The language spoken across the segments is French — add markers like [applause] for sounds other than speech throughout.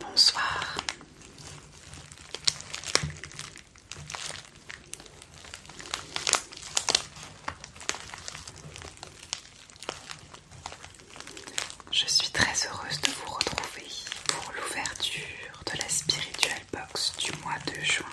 Bonsoir. Je suis très heureuse de vous retrouver pour l'ouverture de la Spiritual Box du mois de juin.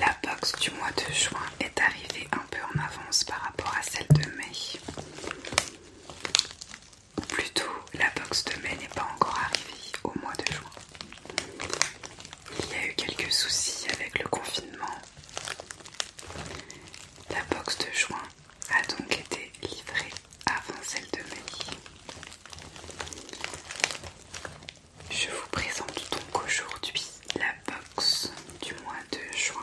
La box du mois de juin est arrivée un peu en avance par rapport à celle de mai. Plutôt, la box de mai n'est pas encore arrivée au mois de juin. Il y a eu quelques soucis avec le confinement. La box de juin a donc été livrée avant celle de mai. Je vous présente donc aujourd'hui la box du mois de juin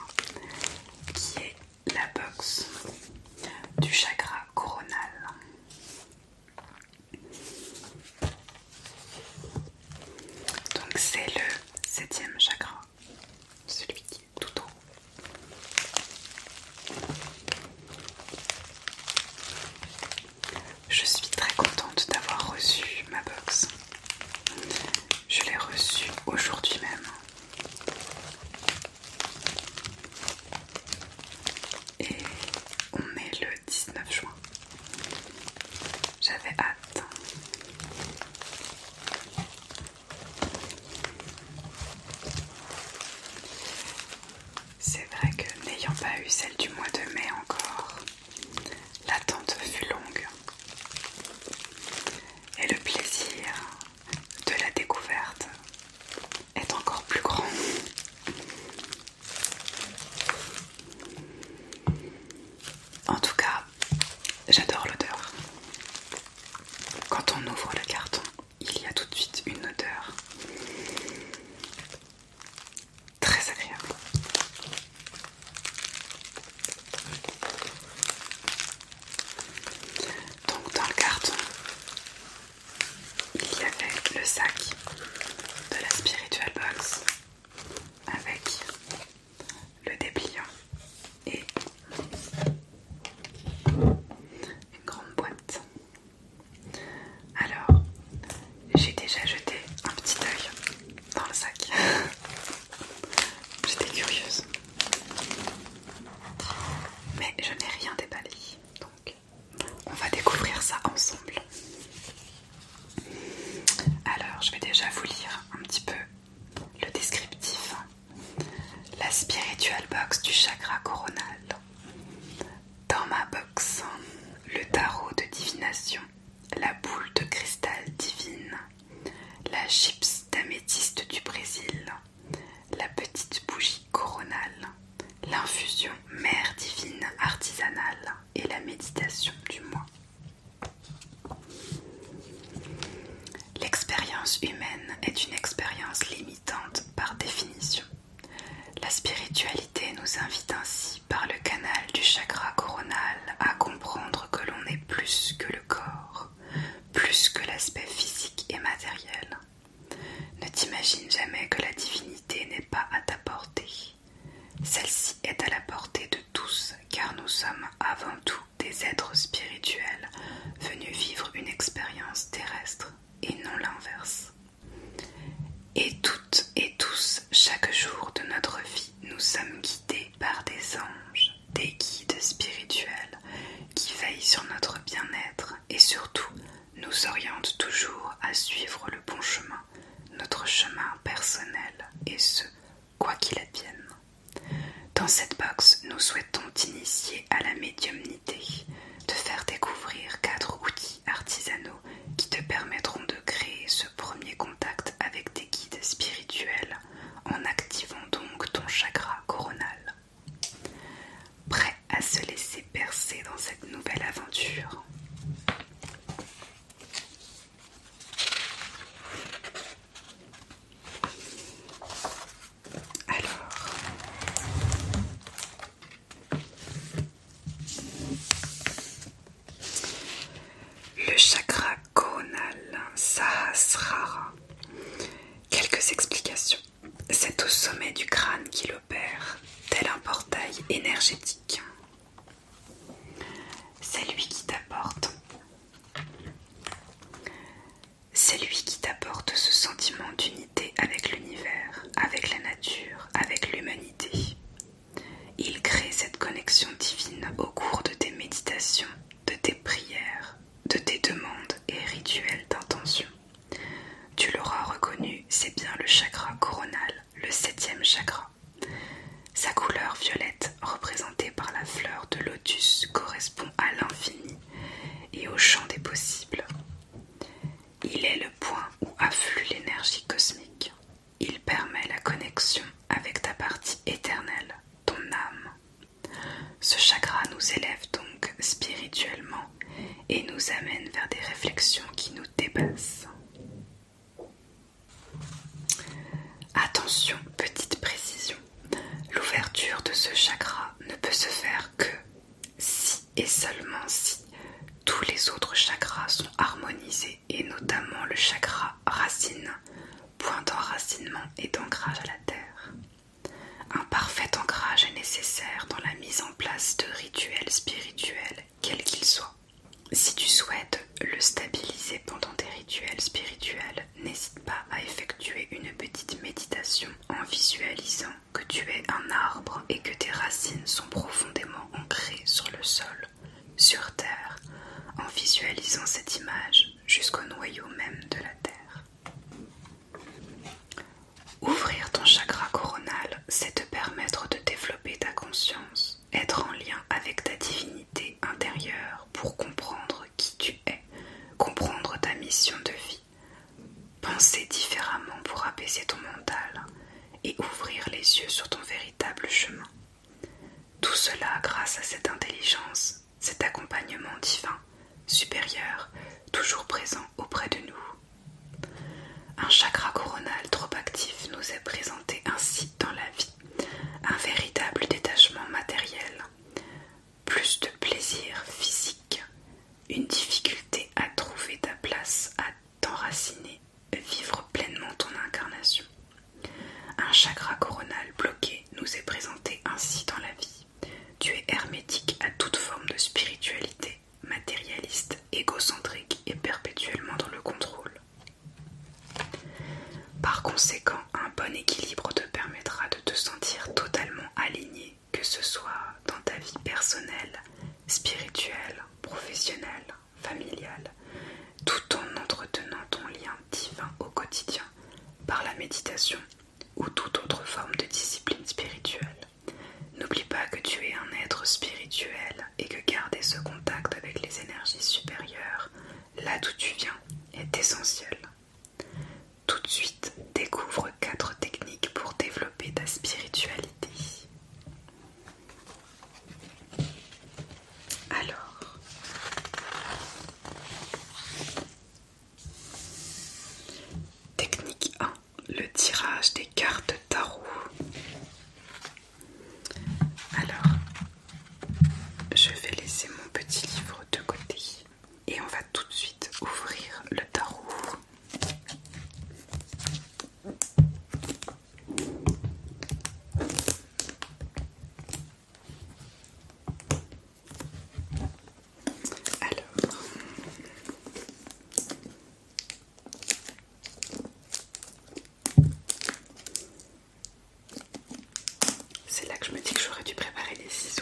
qui est la box du chakra coronal. Donc c'est le septième chakra, celui qui est tout haut. Je suis très contente d'avoir reçu ma box je l'ai reçu aujourd'hui même. Et on est le 19 juin. J'avais hâte. C'est vrai que n'ayant pas eu celle du mois de mai encore, L'attente fut longue et le plaisir de la découverte est encore plus grand. En tout cas, j'adore l'odeur. Quand on ouvre le carton, il y a tout de suite une odeur très agréable. Donc dans le carton, il y avait le sac de la Spiritual Box avec le dépliant et une grande boîte. Alors, j'ai déjà jeté un petit œil dans le sac. [laughs] J'étais curieuse. Mais je n'ai rien déballé. Donc on va découvrir ça ensemble. Alors je vais déjà vous lire un petit peu le descriptif. La spiritual box du chakra coronal. Dans ma box, le tarot de divination la boule de cristal divine, la chips d'améthyste du Brésil, la petite bougie coronale, l'infusion mère divine artisanale et la méditation du mois. L'expérience humaine est une expérience limitante par définition. La spiritualité nous invite ainsi par le canal du chakra coronal à comprendre que l'on est plus que le corps, plus que l'aspect physique et matériel. Ne t'imagine jamais que la divinité n'est pas à ta portée. Celle-ci est à la portée de tous car nous sommes avant tout des êtres spirituels venus vivre une expérience terrestre et non l'inverse. Et toutes et tous, chaque jour de notre vie, nous sommes guidés par des anges, des guides spirituels qui veillent sur notre bien-être et surtout nous orientent toujours à suivre le bon chemin, notre chemin personnel et ce, quoi qu'il advienne. Dans cette box, nous souhaitons t'initier à la médiumnité, te faire découvrir quatre outils artisanaux qui te permettront de créer ce premier contact avec tes guides spirituels en activant donc ton chakra coronal. Prêt à se laisser percer dans cette nouvelle aventure alors, le chakra conal Sahasrara. Quelques explications. C'est au sommet du crâne qu'il opère, tel un portail énergétique. C'est lui qui t'apporte. C'est lui qui t'apporte ce sentiment d'unité avec l'univers, avec la nature, avec l'humanité. Il crée cette connexion divine au cours de tes méditations, de tes prières, de tes demandes et rituels d'intention. Tu l'auras reconnu, c'est bien le chakra coronal, le septième chakra. Sa couleur violette, représentée par la fleur de lotus, correspond à l'infini et au champ des possibles. Il est le point où afflue l'énergie cosmique. Il permet la connexion avec ta partie éternelle, ton âme. Ce chakra nous élève donc spirituellement et nous amène vers des réflexions qui nous dépassent. Attention, petite précision, l'ouverture de ce chakra ne peut se faire que si et seulement si tous les autres chakras sont harmonisés et notamment le chakra racine, point d'enracinement et d'ancrage à la terre. Un parfait ancrage est nécessaire dans la mise en place de rituels spirituels, quels qu'ils soient. Si tu souhaites le stabiliser pendant tes rituels spirituels, n'hésite pas à effectuer une petite méditation en visualisant que tu es un arbre et que tes racines sont profondément ancrées sur le sol sur Terre, en visualisant cette image jusqu'au noyau même de la Terre. Ouvrir ton chakra coronal, c'est te permettre de développer ta conscience, être en lien avec ta divinité intérieure pour comprendre qui tu es, comprendre ta mission de vie, penser différemment pour apaiser ton mental et ouvrir les yeux sur ton véritable chemin. Tout cela grâce à cette intelligence, cet accompagnement divin, supérieur, toujours présent auprès de nous. Un chakra coronal trop actif nous est présenté ainsi dans la vie, un véritable détachement matériel, plus de plaisir physique, une difficulté à trouver ta place, à t'enraciner vivre pleinement ton incarnation. Un chakra coronal bloqué nous est présenté ainsi dans la vie. Tu es hermétique à toute forme de spiritualité, matérialiste, égocentrique et perpétuellement dans le contrôle. Par conséquent, un bon équilibre te permettra de te sentir totalement aligné, que ce soit dans ta vie personnelle, spirituelle, professionnelle familiale tout en entretenant ton lien divin au quotidien par la méditation ou toute autre forme de discipline spirituelle. N'oublie pas que tu es un être spirituel et que garder ce contact avec les énergies supérieures, là d'où tu viens, est essentiel. Tout de suite, découvre quatre techniques pour développer ta spiritualité. Alors, technique 1, le tirage des cartes tarot. Alors, je vais laisser mon petit livre de côté et on va tout de suite ouvrir le tarot. Alors, c'est là que je me dis que j'aurais dû préparer les ciseaux.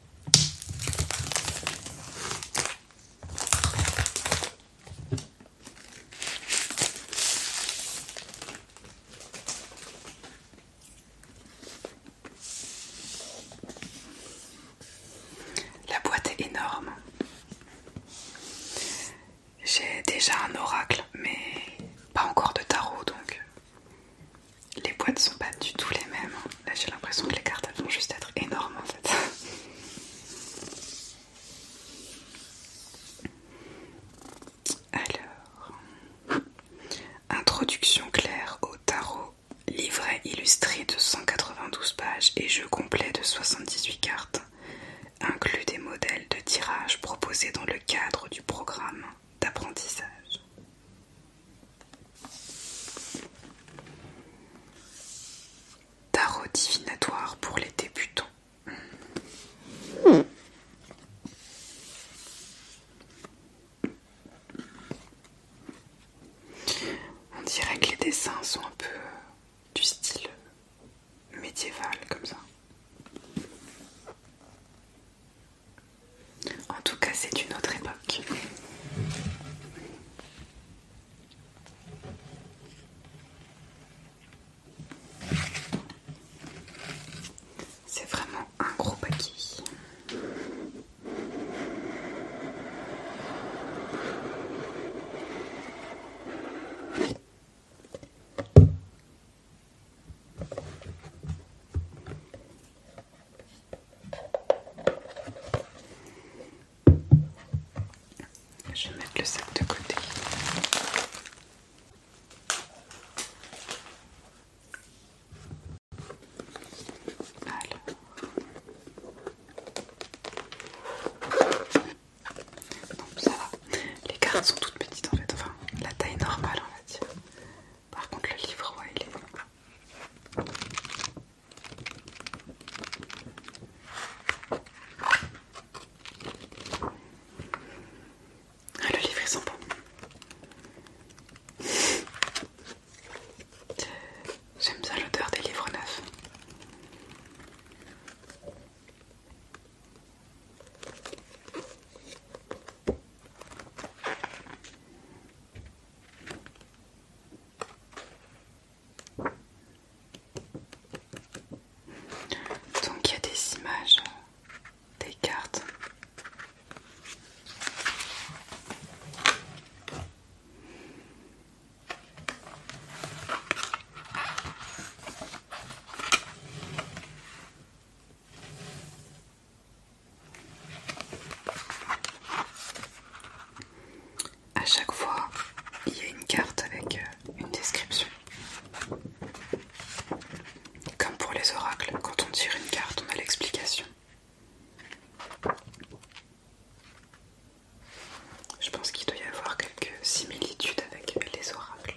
La boîte est énorme. J'ai déjà un oracle, mais pas encore de tarot donc les boîtes sont pas du tout les mêmes. Hein. Là j'ai l'impression que les cartes vont juste être énormes en fait. [laughs] Alors, introduction claire au tarot, livret illustré de 192 pages et jeu complet de 78 cartes, inclut des modèles de tirage proposés dans le cadre du programme d'apprentissage. Tarot divinatoire pour les débutants. On dirait que les dessins sont un peu euh, du style médiéval comme ça. En tout cas, c'est une autre époque. C'est vraiment un gros paquet. Je vais mettre le sac de côté. Alors. ça va. Les cartes sont toutes petites en fait, enfin la taille normale on va dire. Par contre, le livre, ouais, il est ah, le livre, est sympa. J'aime ça l'odeur des livres neufs. Donc il y a des images, des cartes. À chaque fois, il y a une carte avec euh, une description. Comme pour les oracles, quand on tire une carte, on a l'explication. Je pense qu'il doit y avoir quelques similitudes avec les oracles.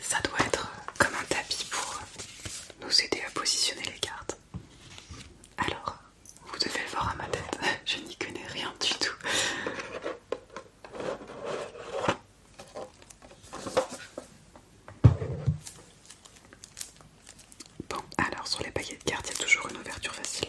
Ça doit être comme un tapis pour nous aider à positionner les cartes. Alors, vous devez le voir à ma tête, [laughs] je n'y connais rien du tout. Bon, alors sur les paquets de cartes, il y a toujours une ouverture facile.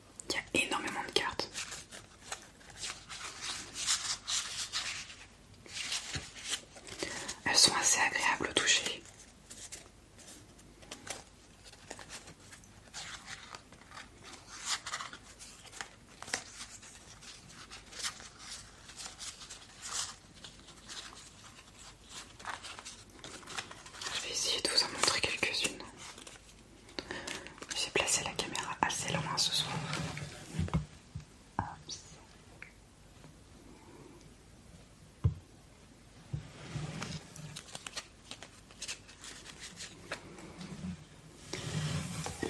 Il y a énormément de cartes. Elles sont assez agréables au toucher. Je vais essayer de vous en montrer quelques-unes. J'ai placé la caméra assez loin ce soir.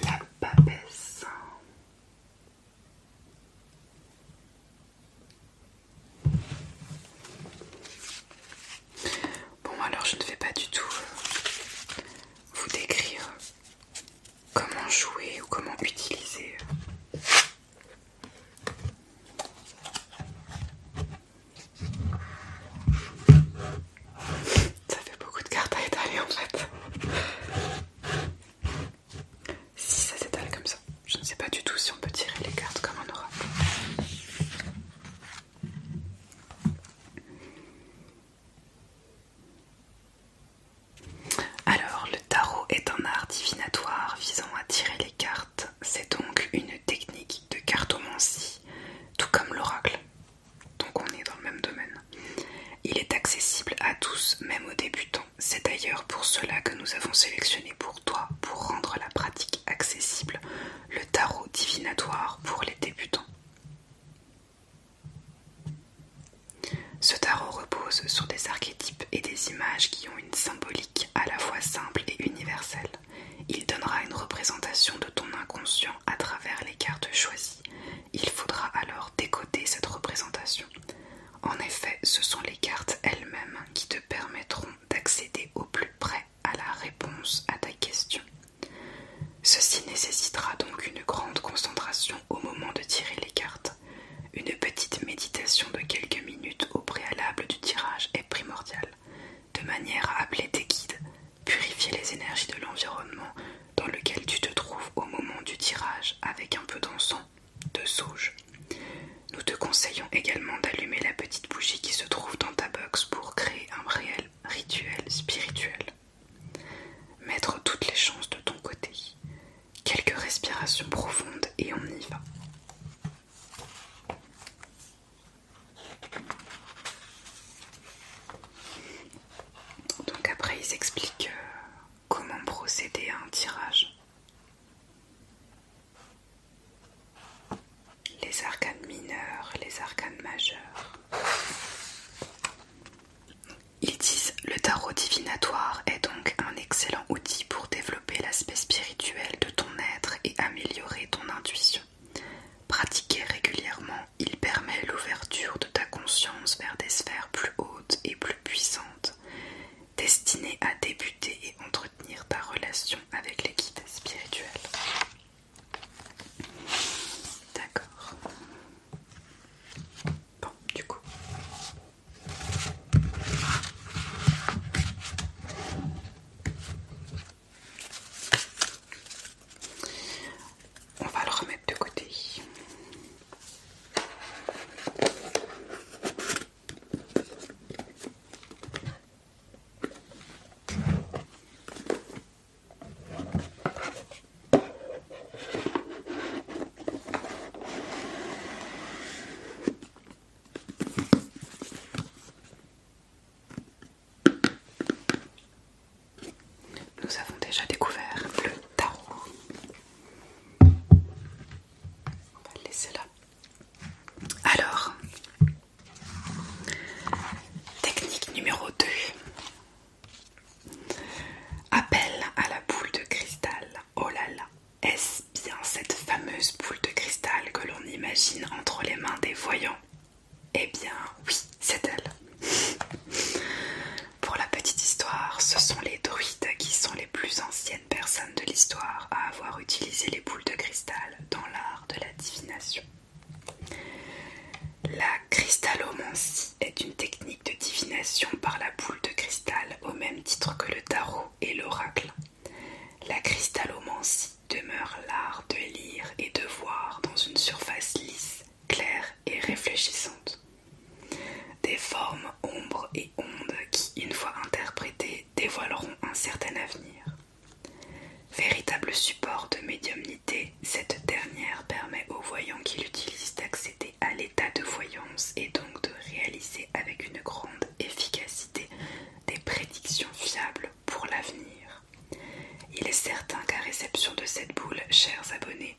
La papesse. Bon, alors je ne vais pas du tout euh, vous décrire comment jouer ou comment utiliser. Euh. Ça fait beaucoup de cartes à étaler en fait. Si ça s'étale comme ça, je ne sais pas du tout si on peut tirer les cartes comme on aura. Alors, le tarot est un art divinatoire visant à tirer les cartes. C'est donc une technique de cartomancie, tout comme l'oracle. Donc on est dans le même domaine. Il est accessible à tous, même aux débutants. C'est d'ailleurs pour cela que nous avons sélectionné pour toi, pour rendre la pratique accessible, le tarot divinatoire pour les débutants. Ce tarot repose sur des archétypes et des images qui ont une symbolique à la fois simple et universelle. Il donnera une représentation de ton inconscient à travers les cartes choisies. Il faudra alors décoder cette représentation. En effet, ce sont les cartes elles-mêmes qui te permettront d'accéder au plus près à la réponse à ta question. Ceci nécessitera donc une grande concentration au moment de tirer les cartes. Une petite méditation de quelques minutes au préalable du tirage est primordiale, de manière à appeler tes guides, purifier les énergies de l'environnement dans lequel tu te trouves au moment du tirage avec un peu d'encens, de sauge. Nous te conseillons également d'allumer la petite bougie qui se trouve dans ta box pour créer un réel rituel, spirituel. Mettre toutes les chances de ton côté. Quelques respirations profondes et on y va. Donc après ils expliquent euh, comment procéder à un tirage les arcanes mineurs, les arcanes majeures. Ils disent le tarot divinatoire est donc un excellent outil pour développer l'aspect spirituel de ton être et améliorer ton intuition. Pratiqué régulièrement, il permet l'ouverture de ta conscience vers des sphères plus hautes et plus puissantes, destinées à débuter et entretenir ta relation avec l'équipe spirituelle. » D'accord. Bon, du coup. On va le remettre de côté. Nous avons déjà découvert le tarot. On va le laisser là. Alors, Technique numéro 2. Appel à la boule de cristal. Oh là là, est-ce bien cette fameuse boule de cristal que l'on imagine entre les mains des voyants Eh bien oui, c'est elle. [laughs] Pour la petite histoire, ce sont les druides qui sont les plus anciennes personnes de l'histoire à avoir utilisé les boules de cristal dans l'art de la divination. La cristallomancie est une technique de divination par la boule de cristal au même titre que le tarot et l'oracle. La cristallomancie demeure l'art de lire et de voir dans une surface lisse, claire et réfléchissante. Des formes, ombres et ondes qui, une fois interprétées, dévoileront un certain avenir. Véritable support de médiumnité cette dernière permet aux voyants qui l'utilisent d'accéder à l'état de voyance et donc de réaliser avec une grande efficacité des prédictions fiables pour l'avenir. Il est certain qu'à réception de cette boule, chers abonnés,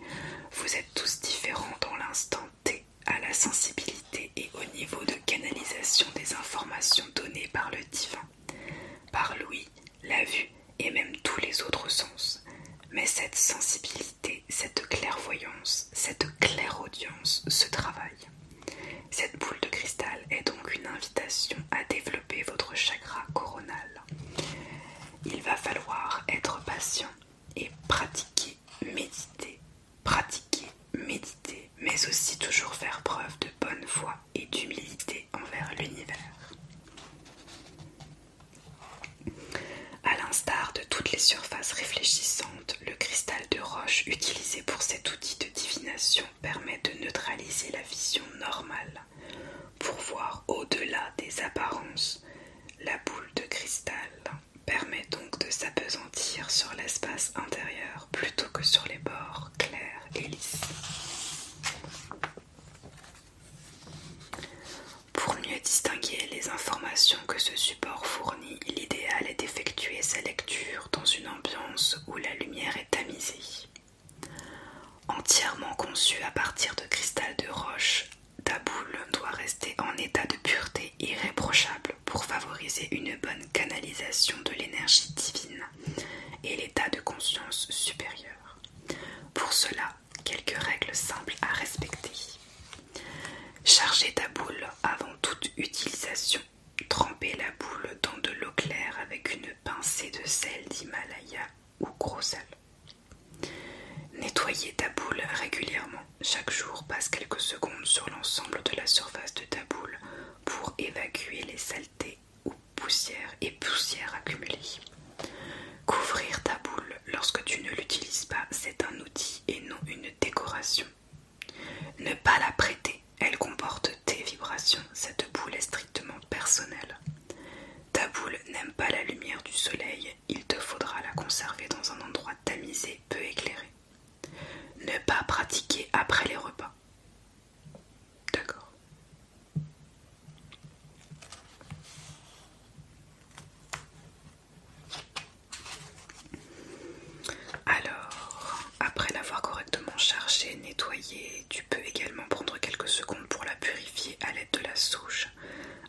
vous êtes tous différents dans l'instant T à la sensibilité et au niveau de canalisation des informations données par le divin par l'ouïe, la vue et même tous les autres sens. Mais cette sensibilité, cette clairvoyance, cette clairaudience se travaille. Cette boule de cristal est donc une invitation à développer votre chakra coronal. Il va falloir être patient et pratiquer, méditer, pratiquer, méditer, mais aussi toujours faire preuve de bonne foi et d'humilité envers l'univers. A l'instar de toutes les surfaces réfléchissantes, le cristal de roche utilisé pour cet outil de divination permet de neutraliser la vision normale pour voir au-delà des apparences. La boule de cristal permet donc de s'apesantir sur l'espace intérieur plutôt que sur les bords clair et lisse. Pour mieux distinguer les informations que ce support fournit, l'idéal est d'effectuer sa lecture dans une ambiance où la lumière est tamisée. Entièrement conçu à partir de cristal de roche, ta boule doit rester en état de pureté irréprochable pour favoriser une bonne canalisation de l'énergie divine et l'état de conscience supérieur. Pour cela, quelques règles simples à respecter. Chargez ta boule avant toute utilisation. Trempez la boule dans de l'eau claire avec une pincée de sel d'Himalaya ou gros sel. Nettoyez ta boule régulièrement. Chaque jour, passe quelques secondes sur l'ensemble de la surface de ta boule pour évacuer les saletés ou poussière et poussière accumulée. Couvrir ta boule lorsque tu ne l'utilises pas, c'est un outil et non une décoration. Ne pas la prêter, elle comporte tes vibrations, cette boule est strictement personnelle. Ta boule n'aime pas la lumière du soleil, il te faudra la conserver dans un endroit tamisé, peu éclairé. Ne pas pratiquer après les repas. D'accord. Alors, après l'avoir correctement chargée, nettoyée, tu peux également prendre quelques secondes pour la purifier à l'aide de la souche.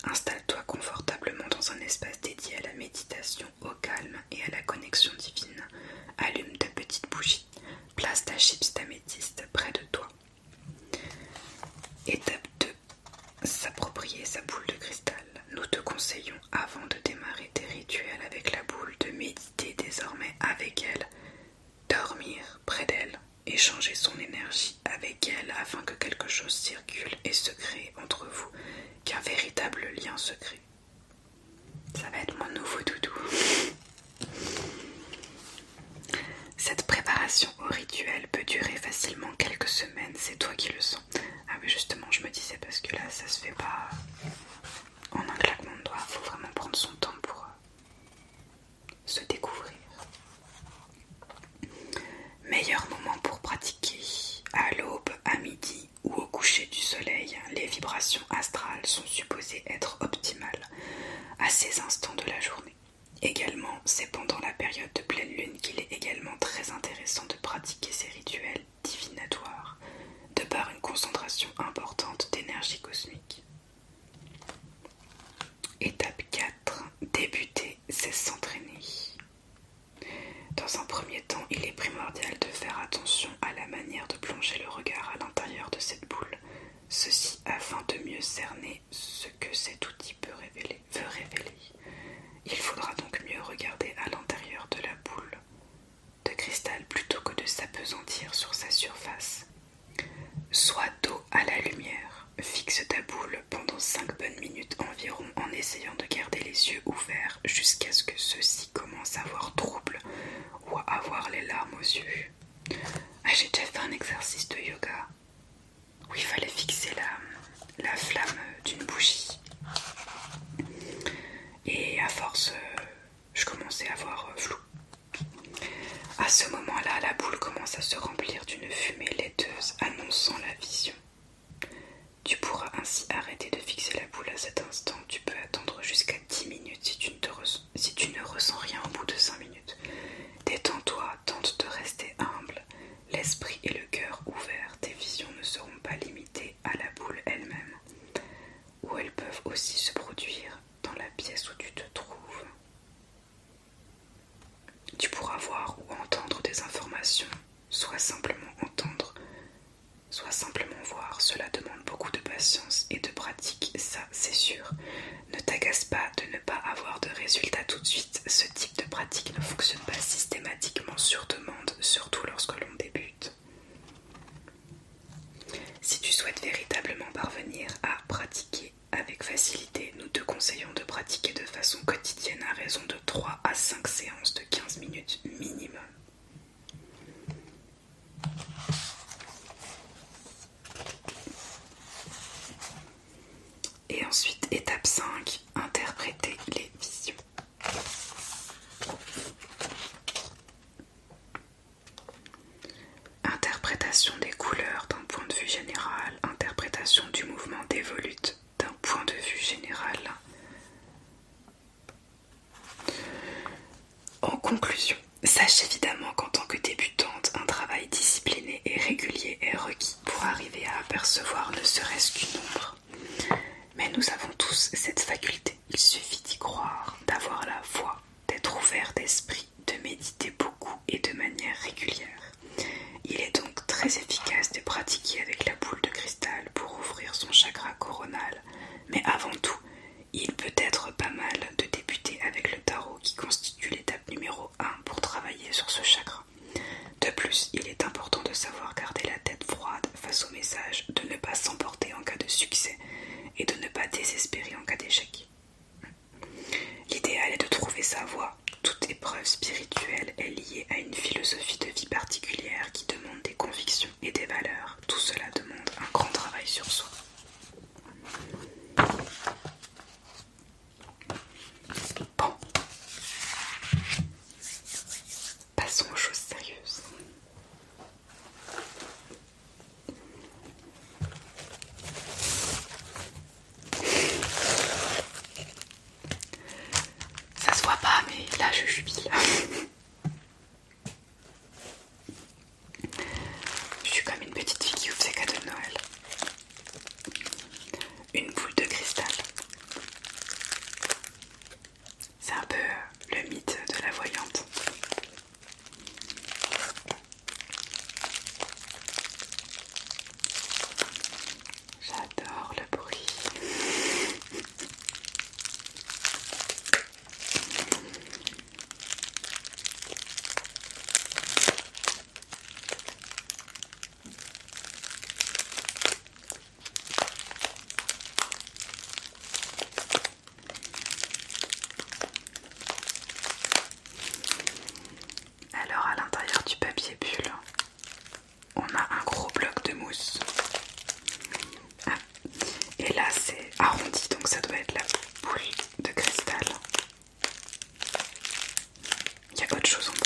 Installe-toi confortablement dans un espace dédié à la méditation, au calme et à la connexion divine. Allume ta petite bougie. Place ta chips, ta près de toi. Étape 2. S'approprier sa boule de cristal. Nous te conseillons, avant de démarrer tes rituels avec la boule, de méditer désormais avec elle, dormir près d'elle, échanger son énergie avec elle afin que quelque chose circule et se crée entre vous, qu'un véritable lien se crée. Ça va être mon nouveau doudou. Cette préparation au rituel peut durer facilement quelques semaines, c'est toi qui le sens. Ah oui justement je me disais parce que là ça se fait pas en un claquement de doigts, faut vraiment prendre son temps pour euh, se découvrir. Meilleur moment pour pratiquer à l'aube, à midi ou au coucher du soleil, les vibrations astrales sont supposées être optimales à ces instants de la journée. Également, c'est pendant la période de pleine lune qu'il est également très intéressant de pratiquer ces rituels divinatoires, de par une concentration importante d'énergie cosmique. Étape 4. Débuter, c'est s'entraîner. Dans un premier temps, il est primordial de faire attention à la manière de plonger le regard à l'intérieur de cette boule Ceci afin de mieux cerner ce que cet outil peut révéler, veut révéler. Il faudra donc mieux regarder à l'intérieur de la boule de cristal plutôt que de s'apesantir sur sa surface. Soit dos à la lumière, fixe ta boule pendant 5 bonnes minutes environ en essayant de garder les yeux ouverts jusqu'à ce que ceux-ci commencent à avoir trouble ou à avoir les larmes aux yeux. Ah, j'ai déjà fait un exercice de yoga où il fallait fixer la, la flamme d'une bougie. Et à force, euh, je commençais à voir euh, flou. À ce moment-là, la boule commence à se remplir d'une fumée laiteuse annonçant la vision. Tu pourras ainsi arrêter de fixer la boule à cet instant. Tu peux attendre jusqu'à 10 minutes si tu, ne si tu ne ressens rien au bout de 5 minutes. Détends-toi, tente de rester humble. L'esprit et le cœur ouverts, tes visions ne seront pas limitées à la boule elle-même, ou elles peuvent aussi se produire dans la pièce où tu te trouves. Tu pourras voir ou entendre des informations, soit simplement entendre, soit simplement voir. Cela demande beaucoup de patience et de pratique c'est sûr. Ne t'agace pas de ne pas avoir de résultats tout de suite. Ce type de pratique ne fonctionne pas systématiquement sur demande, surtout lorsque l'on débute. Si tu souhaites véritablement parvenir à pratiquer avec facilité, nous te conseillons de pratiquer de façon quotidienne à raison de 3 à 5 séances de 15 minutes minimum. Et ensuite, étape 5, interpréter les visions. Interprétation des couleurs d'un point de vue général, interprétation du mouvement volutes d'un point de vue général. En conclusion, sache évidemment qu'en tant que débutante, un travail discipliné et régulier est requis pour arriver à apercevoir ne serait-ce qu'une ombre. Mais nous avons tous cette faculté, il suffit d'y croire, d'avoir la foi, d'être ouvert d'esprit, de méditer beaucoup et de manière régulière. Il est donc très efficace de pratiquer avec la boule de cristal pour ouvrir son chakra coronal, mais avant tout, il peut être pas mal de débuter avec le tarot qui constitue l'étape numéro 1 pour travailler sur ce chakra. De plus, il est important de savoir garder la tête froide face au message, de ne pas s'emporter en cas de succès et de ne pas désespérer en cas d'échec. L'idéal est de trouver sa voie. Toute épreuve spirituelle est liée à une philosophie de vie particulière qui demande des convictions et des valeurs. Tout cela demande un grand travail sur soi passons aux choses sérieuses. Ça se voit pas, mais là je jubile. [laughs] Je suis comme une petite fille qui ouvre ses cadeaux de Noël. Une boule de cristal. C'est un peu euh, le mythe de la voyante. J'adore le bruit. Alors à l'intérieur du papier bulle, on a un gros bloc de mousse. Et là c'est arrondi, donc ça doit être la boule de cristal. Il y a autre chose en bas.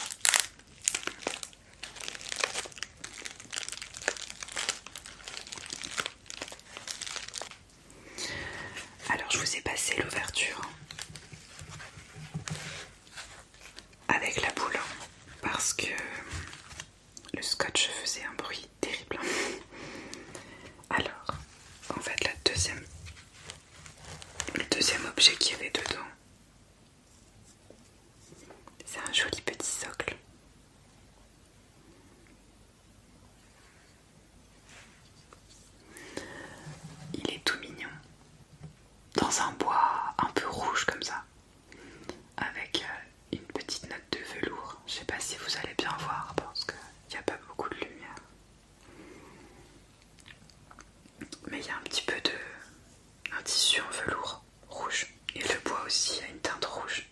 Alors je vous ai passé l'ouverture avec la boule hein, parce que le scotch faisait un bruit terrible. Alors, en fait, la deuxième, le deuxième objet qu'il y avait dedans, c'est un joli petit socle. Il est tout mignon, dans un bois un peu rouge comme ça, avec euh, une petite note de velours. Je sais pas si vous allez bien voir parce que il n'y a pas beaucoup de lumière. Mais il y a un petit peu de. un tissu en velours rouge. Et le bois aussi a une teinte rouge.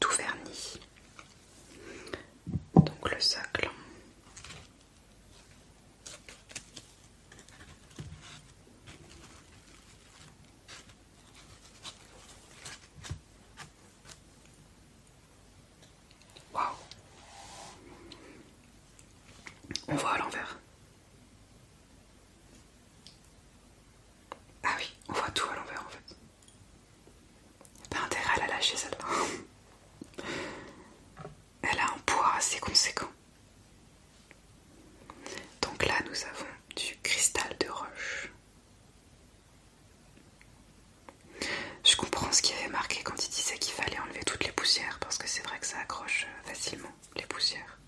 Tout verni. Donc le sac Waouh On voit à l'envers. Ah oui, on voit tout à l'envers en fait. Pas intérêt à la lâcher celle [laughs] Elle a un poids assez conséquent. Donc là, nous avons du cristal de roche. Je comprends ce qu'il avait marqué quand il disait qu'il fallait enlever toutes les poussières, parce que c'est vrai que ça accroche euh, facilement les poussières.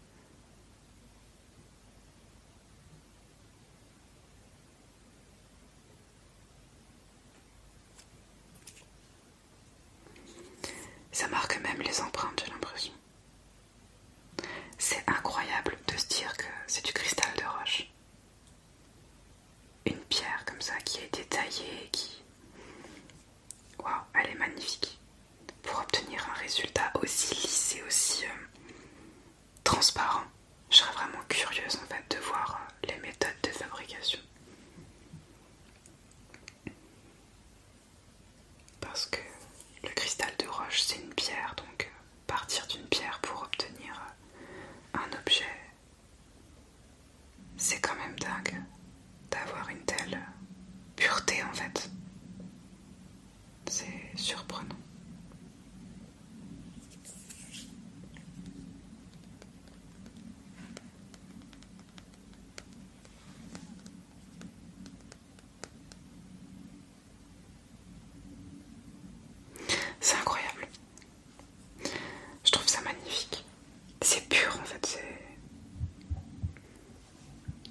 Ça marque même les empreintes, j'ai l'impression. C'est incroyable de se dire que c'est du cristal de roche. Une pierre comme ça qui a été taillée, qui... Waouh, elle est magnifique. Pour obtenir un résultat aussi lisse et aussi euh, transparent, je serais vraiment curieuse en fait de voir euh, les méthodes de fabrication. Parce que le cristal de roche, c'est une pierre, donc euh, partir d'une pierre pour obtenir euh, un objet, c'est quand même dingue d'avoir une telle euh, pureté en fait. C'est surprenant. C'est incroyable. Je trouve ça magnifique. C'est pur en fait,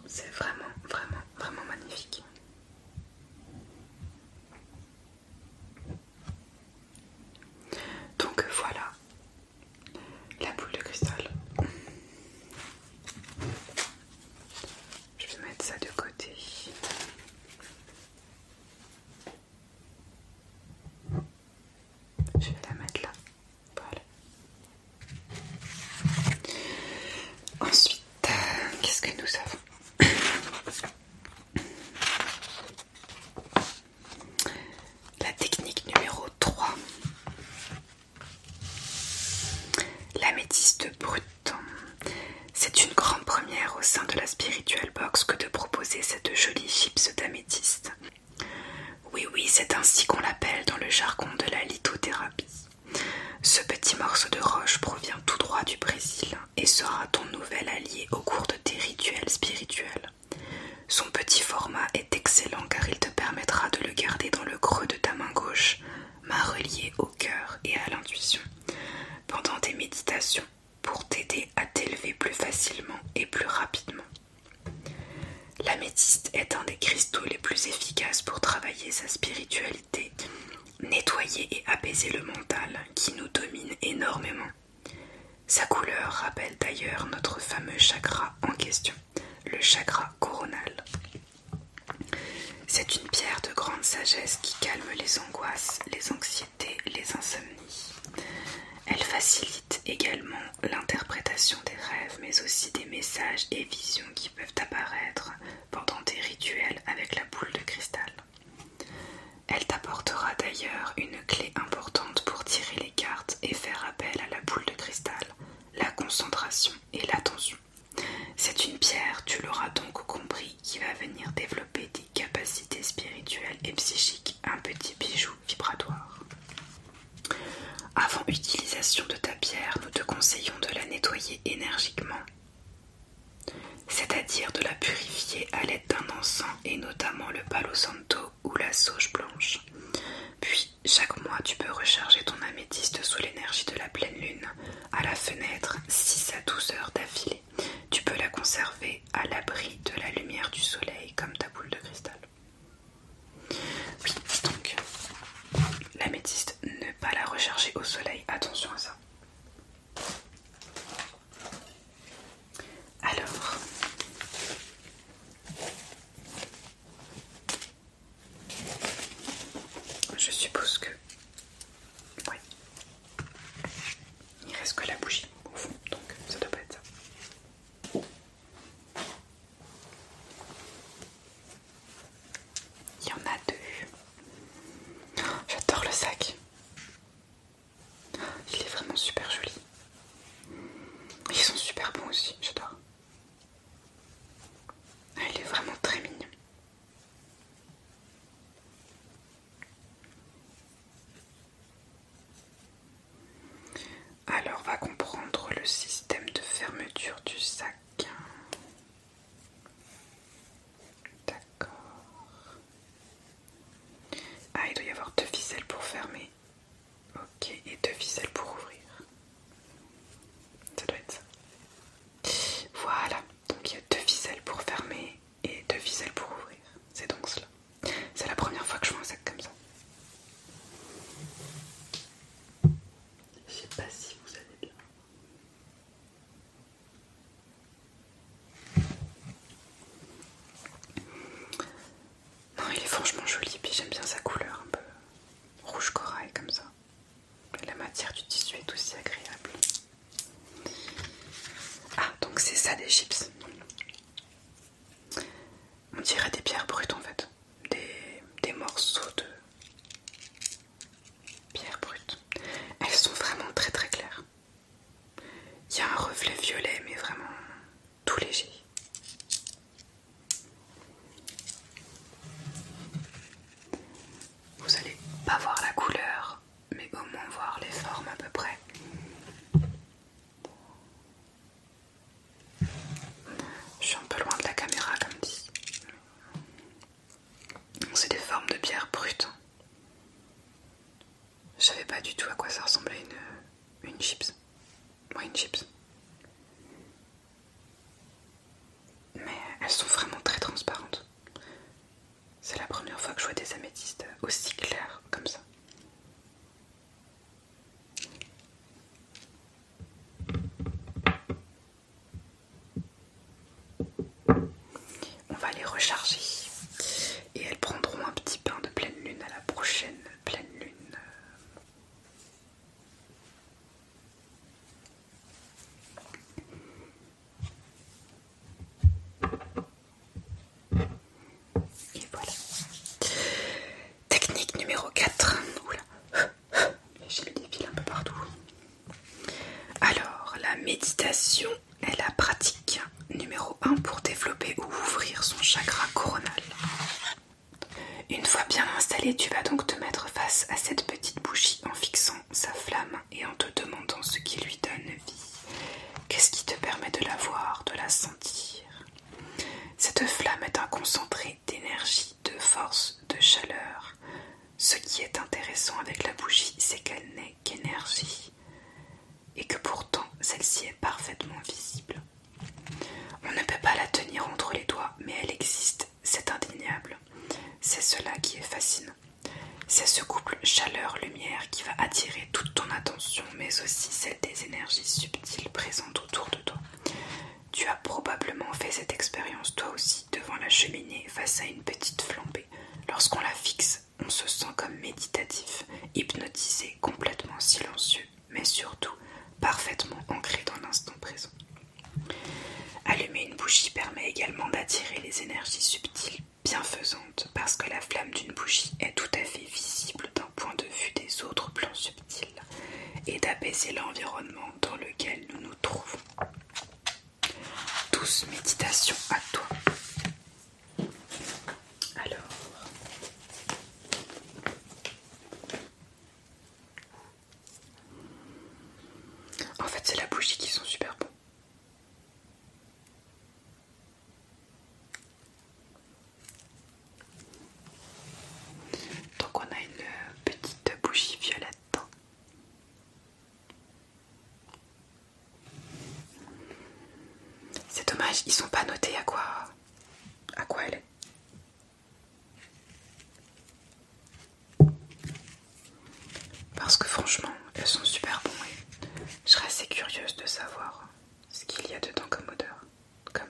c'est... vraiment, vraiment, vraiment magnifique. Donc voilà la boule de cristal. Je vais mettre ça de côté. Je vais la mettre là. Voilà. Ensuite, euh, qu'est-ce que nous avons [coughs] La technique numéro 3. L'améthyste C'est une grande première au sein de la spirituelle Box que de proposer cette jolie chips d'améthyste. Oui, oui, c'est ainsi qu'on l'appelle dans le jargon de la lithothérapie. Ce petit morceau de roche provient tout droit du Brésil et sera ton nouvel allié au cours de tes rituels spirituels. Son petit format est excellent car il te permettra de le garder dans le creux de ta main gauche m'a relié au cœur et à l'intuition pendant tes méditations pour t'aider à t'élever plus facilement et plus rapidement. La L'améthyste est un des cristaux les plus efficaces pour travailler sa spiritualité, nettoyer et apaiser le mental qui nous domine énormément. Sa couleur rappelle d'ailleurs notre fameux chakra en question le chakra coronal. C'est une pierre de grande sagesse qui calme les angoisses, les anxiétés, les insomnies. Elle facilite également l'interprétation des rêves, mais aussi des messages et visions qui peuvent apparaître pendant des rituels avec la boule de cristal. Elle t'apportera d'ailleurs une clé importante pour tirer les cartes et faire appel à la boule de cristal, la concentration et l'attention. C'est une pierre, tu l'auras donc compris, qui va venir développer des capacités spirituelles et psychiques, un petit bijou vibratoire. Avant utilisation de ta pierre, nous te conseillons de la nettoyer énergiquement, c'est-à-dire de la purifier à l'aide d'un encens et notamment le palo santo ou la sauge blanche. Puis, chaque mois, tu peux recharger ton améthyste sous l'énergie de la pleine lune à la fenêtre si à 12 heures d'affilée. Tu peux la conserver à l'abri de la lumière du soleil comme ta boule de cristal. Oui, donc métiste, ne pas la recharger au soleil, attention à ça. Alors, je suppose que... Ouais. Il reste que la bougie au fond, donc ça doit pas être ça. Il y en a deux. [gasps] J'adore le sac. Il est vraiment super joli. Ils sont super bons aussi, j'adore il est vraiment très mignon. Alors, va comprendre le système de fermeture du sac. D'accord. Ah, il doit y avoir deux ficelles pour fermer. Ok, et deux ficelles pour ouvrir. Ça doit être ça. Voilà, donc il y a deux ficelles pour fermer et deux viselles pour ouvrir. C'est donc cela. C'est la première fois que je vois un sac comme ça. Je sais pas si vous allez bien. Non, il est franchement joli, puis j'aime bien sa couleur un peu rouge corail comme ça. La matière du tissu est aussi agréable. Ah, donc c'est ça des chips. On dirait des pierres brutes en fait. Des, morceaux de pierres brutes. Elles sont vraiment très très claires. Il y a un reflet violet mais vraiment tout léger. Vous allez pas voir la couleur, mais au moins voir les formes à peu près. Je suis un peu loin de la caméra comme dit. C'est des formes de pierre brute. Je savais pas du tout à quoi ça ressemblait une, une chips. ouais, une chips. Mais elles sont vraiment très transparentes. C'est la première fois que je vois des améthystes aussi claires comme ça. On va les recharger et elles prendront un petit pain de pleine lune à la prochaine pleine lune et voilà. Technique numéro 4. Oula. J'ai des fils un peu partout. Alors, la méditation est la pratique numéro 1 pour développer ou ouvrir son chakra coronal. Une fois bien installé, tu vas donc te mettre face à cette petite bougie en fixant sa flamme et en te demandant ce qui lui donne vie. Qu'est-ce qui te permet de la voir, de la sentir Cette flamme est un concentré d'énergie, de force, de chaleur. Ce qui est intéressant avec la bougie, c'est qu'elle n'est qu'énergie et que pourtant celle-ci est parfaitement visible. On ne peut pas la tenir entre les doigts, mais elle existe c'est indéniable. C'est cela qui est fascinant. C'est ce couple chaleur-lumière qui va attirer toute ton attention, mais aussi celle des énergies subtiles présentes autour de toi. Tu as probablement fait cette expérience toi aussi devant la cheminée face à une petite flambée. Lorsqu'on la fixe, on se sent comme méditatif, hypnotisé, complètement silencieux, mais surtout parfaitement ancré dans l'instant présent. Allumer une bougie permet également d'attirer les énergies subtiles bienfaisantes parce que la flamme d'une bougie est tout à fait visible d'un point de vue des autres plans subtils et d'apaiser l'environnement dans lequel nous nous trouvons. Douce méditation à toi. Alors, en fait, c'est la bougie qui sont super bons. Donc, on a une petite bougie violette. C'est dommage, ils sont pas notés à quoi, à quoi elle est. Parce que franchement, elles sont super bonnes et je serais assez curieuse de savoir ce qu'il y a dedans comme odeur, comme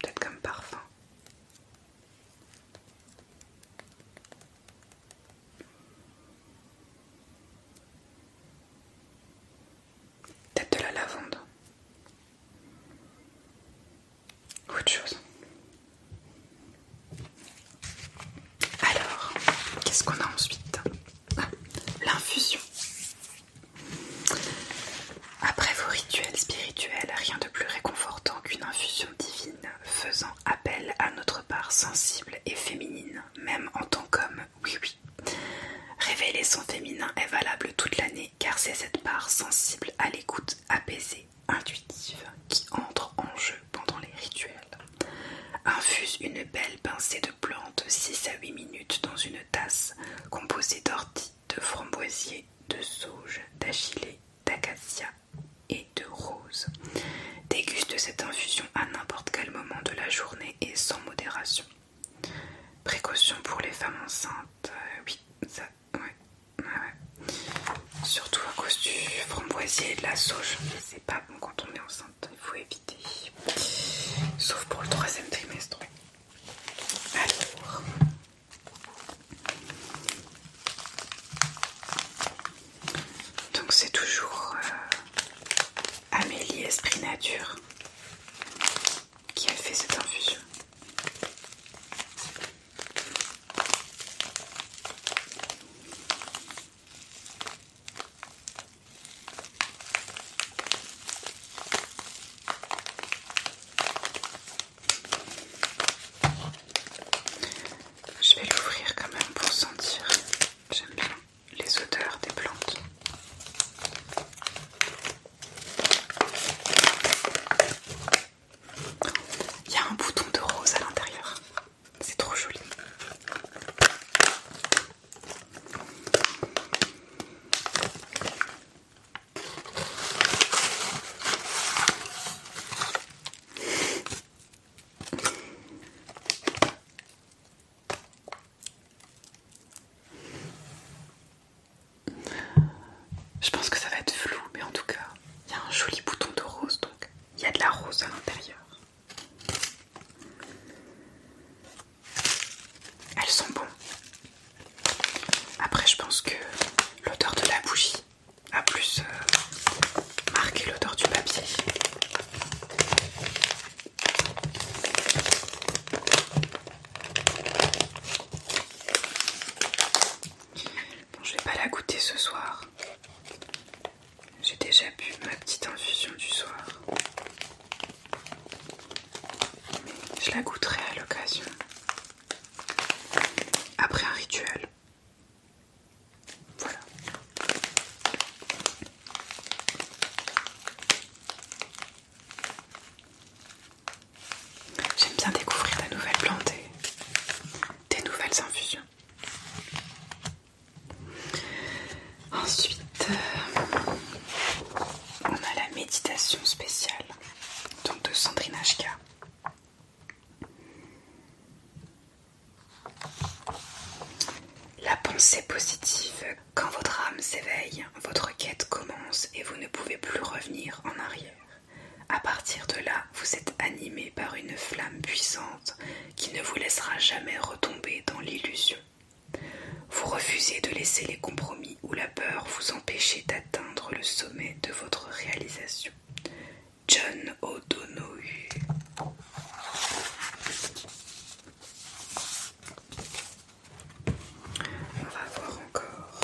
peut-être comme parfum. Peut-être de la lavande. Autre chose. Alors, qu'est-ce qu'on a ensuite ah, L'infusion. Après vos rituels spirituels, rien de plus réconfortant qu'une infusion divine faisant appel à notre part sensible et féminine, même en tant qu'homme, oui oui. Révéler son féminin est valable toute l'année car c'est cette part sensible à l'écoute apaisée intuitive qui entre en jeu pendant les rituels. Infuse une belle pincée de plantes 6 à 8 minutes dans une tasse composée d'orties, de framboisier, de sauge, d'achillée, d'acacia et de rose. Déguste cette infusion à n'importe quel moment de la journée et sans modération. Précaution pour les femmes enceintes, euh, oui, ça ouais, Surtout à cause du framboisier et de la sauge. C'est pas bon quand on est enceinte, il faut éviter. Sauf pour le troisième trimestre. Alors. Donc c'est toujours euh, Amélie Esprit Nature qui a fait cette infusion. Je vais l'ouvrir quand même pour sentir. J'aime bien les odeurs des plantes. Il y a un bouton de rose à l'intérieur. C'est trop joli. Je pense que ça va être flou, mais en tout cas, il y a un joli bouton de rose, donc il y a de la rose à l'intérieur. Elles sont bonnes. Après, je pense que l'odeur de la bougie a plus euh, marqué l'odeur du papier. Bon, je vais pas la goûter ce soir. J'ai déjà bu ma petite infusion du soir. Mais je la goûterai à l'occasion. Après un rituel. Voilà. J'aime bien découvrir la nouvelle plantée, des nouvelles infusions. Ensuite, euh, on a la méditation spéciale de Sandrine Ashka. La pensée positive. Quand votre âme s'éveille, votre quête commence et vous ne pouvez plus revenir en arrière. À partir de là, vous êtes animé par une flamme puissante qui ne vous laissera jamais retomber dans l'illusion. Vous refusez de laisser les compromis ou la peur vous empêcher d'atteindre le sommet de votre réalisation. John O'Donoghue On va voir encore.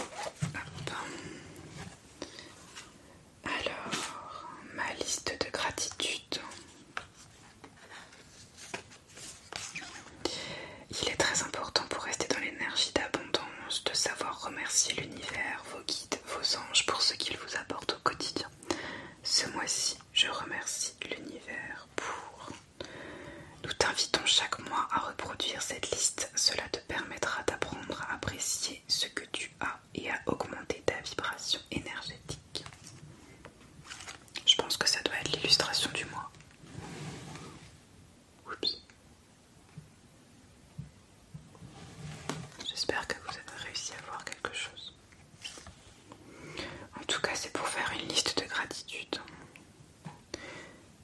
Alors, ma liste de gratitude. Il est très important pour rester dans l'énergie d'abondance de savoir remercier l'univers, vos guides, vos anges pour ce qu'ils vous apportent au quotidien. Ce mois-ci, je remercie l'univers pour... Nous t'invitons chaque mois à reproduire cette liste. Cela te permettra d'apprendre à apprécier ce que tu as et à augmenter ta vibration énergétique. Je pense que ça doit être l'illustration du mois. Oups. J'espère que vous avez réussi à voir quelque chose. En tout cas, c'est pour faire une liste de gratitude.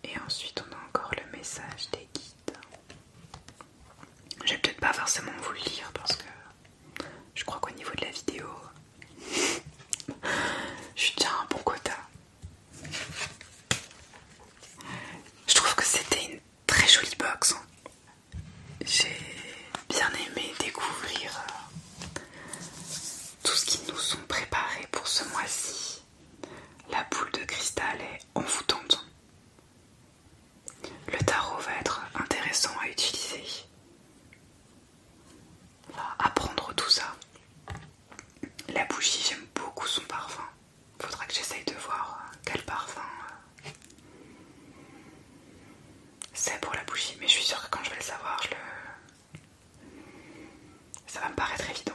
Et ensuite, on a encore le message des guides je vais peut-être pas forcément vous le lire parce que je crois qu'au niveau de la vidéo, [laughs] je tiens un bon quota. Je trouve que c'était une très jolie box. Hein. J'ai bien aimé découvrir euh, tout ce qui nous sont préparé pour ce mois-ci. La boule de cristal est envoûtante. Le tarot va être intéressant à utiliser. apprendre tout ça. La bougie, j'aime beaucoup son parfum. Il Faudra que j'essaye de voir euh, quel parfum euh, c'est pour la bougie. Mais je suis sûre que quand je vais le savoir, ça va me paraître évident.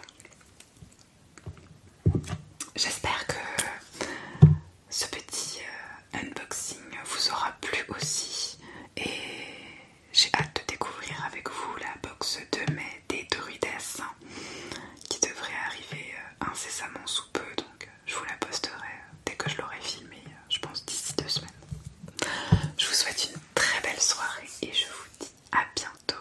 J'espère que ce petit euh, unboxing vous aura plu aussi et j'ai hâte de découvrir avec vous la box de mai des Dorides, qui devrait arriver euh, incessamment sous peu donc je vous la posterai euh, dès que je l'aurai filmée je pense d'ici deux semaines. Je vous souhaite une très belle soirée et je vous dis à bientôt.